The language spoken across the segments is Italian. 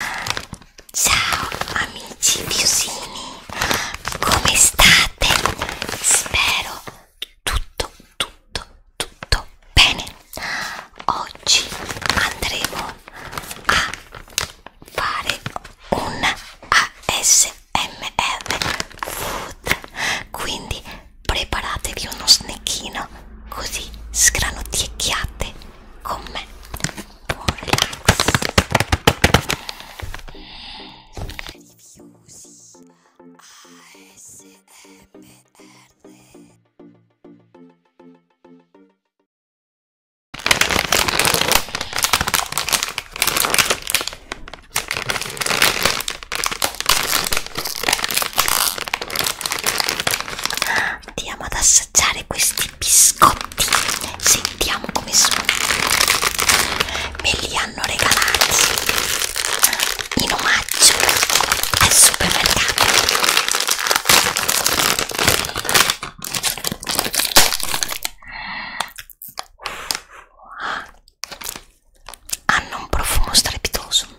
Ciao amici piusini, come state? Spero tutto, tutto, tutto bene. Oggi andremo a fare un ASMR food, quindi preparatevi uno snecchino così sgranocchiate con me buon relax Diffusi ASMR andiamo ad assaggiare questi biscotti sentiamo come sono me li hanno regalati in omaggio al supermercato hanno un profumo strepitoso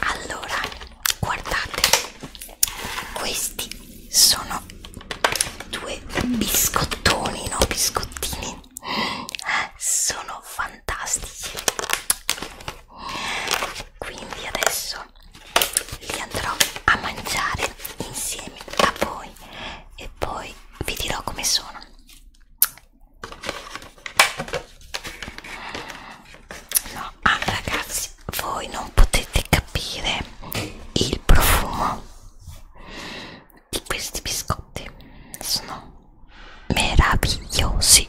Allora, guardate, questi sono due biscottoni, no? Biscottini sono fantastici quindi adesso li andrò a mangiare insieme a voi e poi vi dirò come sono no ah, ragazzi voi non potete capire il profumo di questi biscotti sono meravigliosi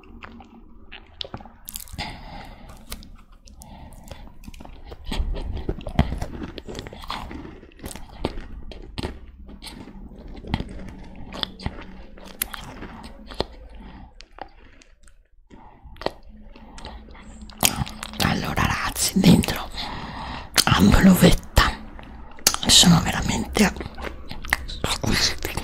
Allora ragazzi, dentro hanno l'uvetta sono veramente squisiti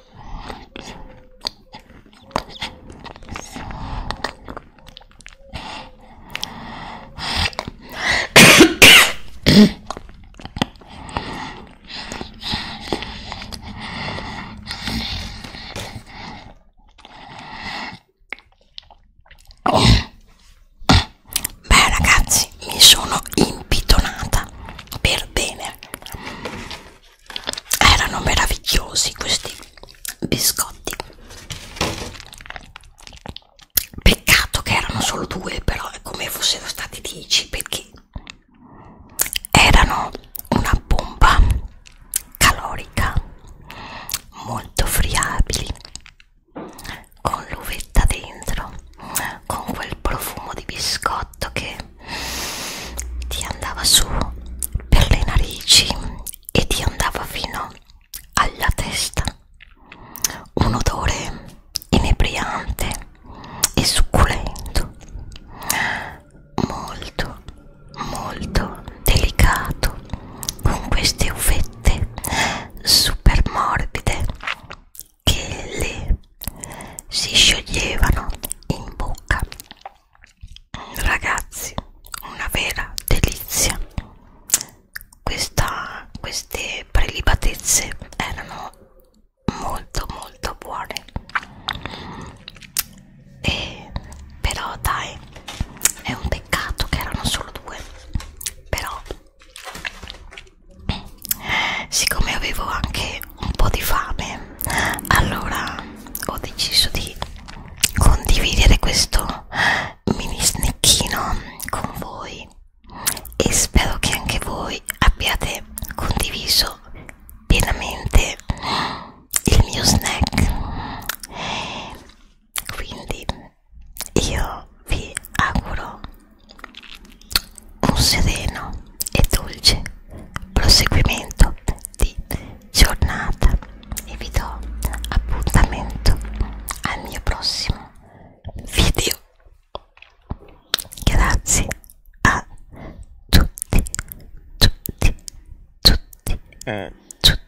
Beh ragazzi, mi sono impitonata per bene erano meravigliosi questi biscotti peccato che erano solo due però è come fossero stati dieci perché erano una bomba calorica molto friabili con l'uvetta dentro con quel profumo di biscotto che ti andava su per le narici e ti andava fino alla testa un odore inebriante e succulento molto molto delicato con queste uvette super morbide che le si scioglievano in bocca. Ragazzi, una vera delizia. Questa, queste prelibatezze erano molto molto buone. E però dai, è un peccato che erano solo due. Però siccome avevo anche un po' di fame allora ho deciso di condividere questo mini snackino con voi e spero che anche voi abbiate condiviso pienamente il mio snack quindi io vi auguro un sereno e dolce proseguimento di giornata e vi do appuntamento al mio prossimo video grazie a tutti tutti tutti eh. tutti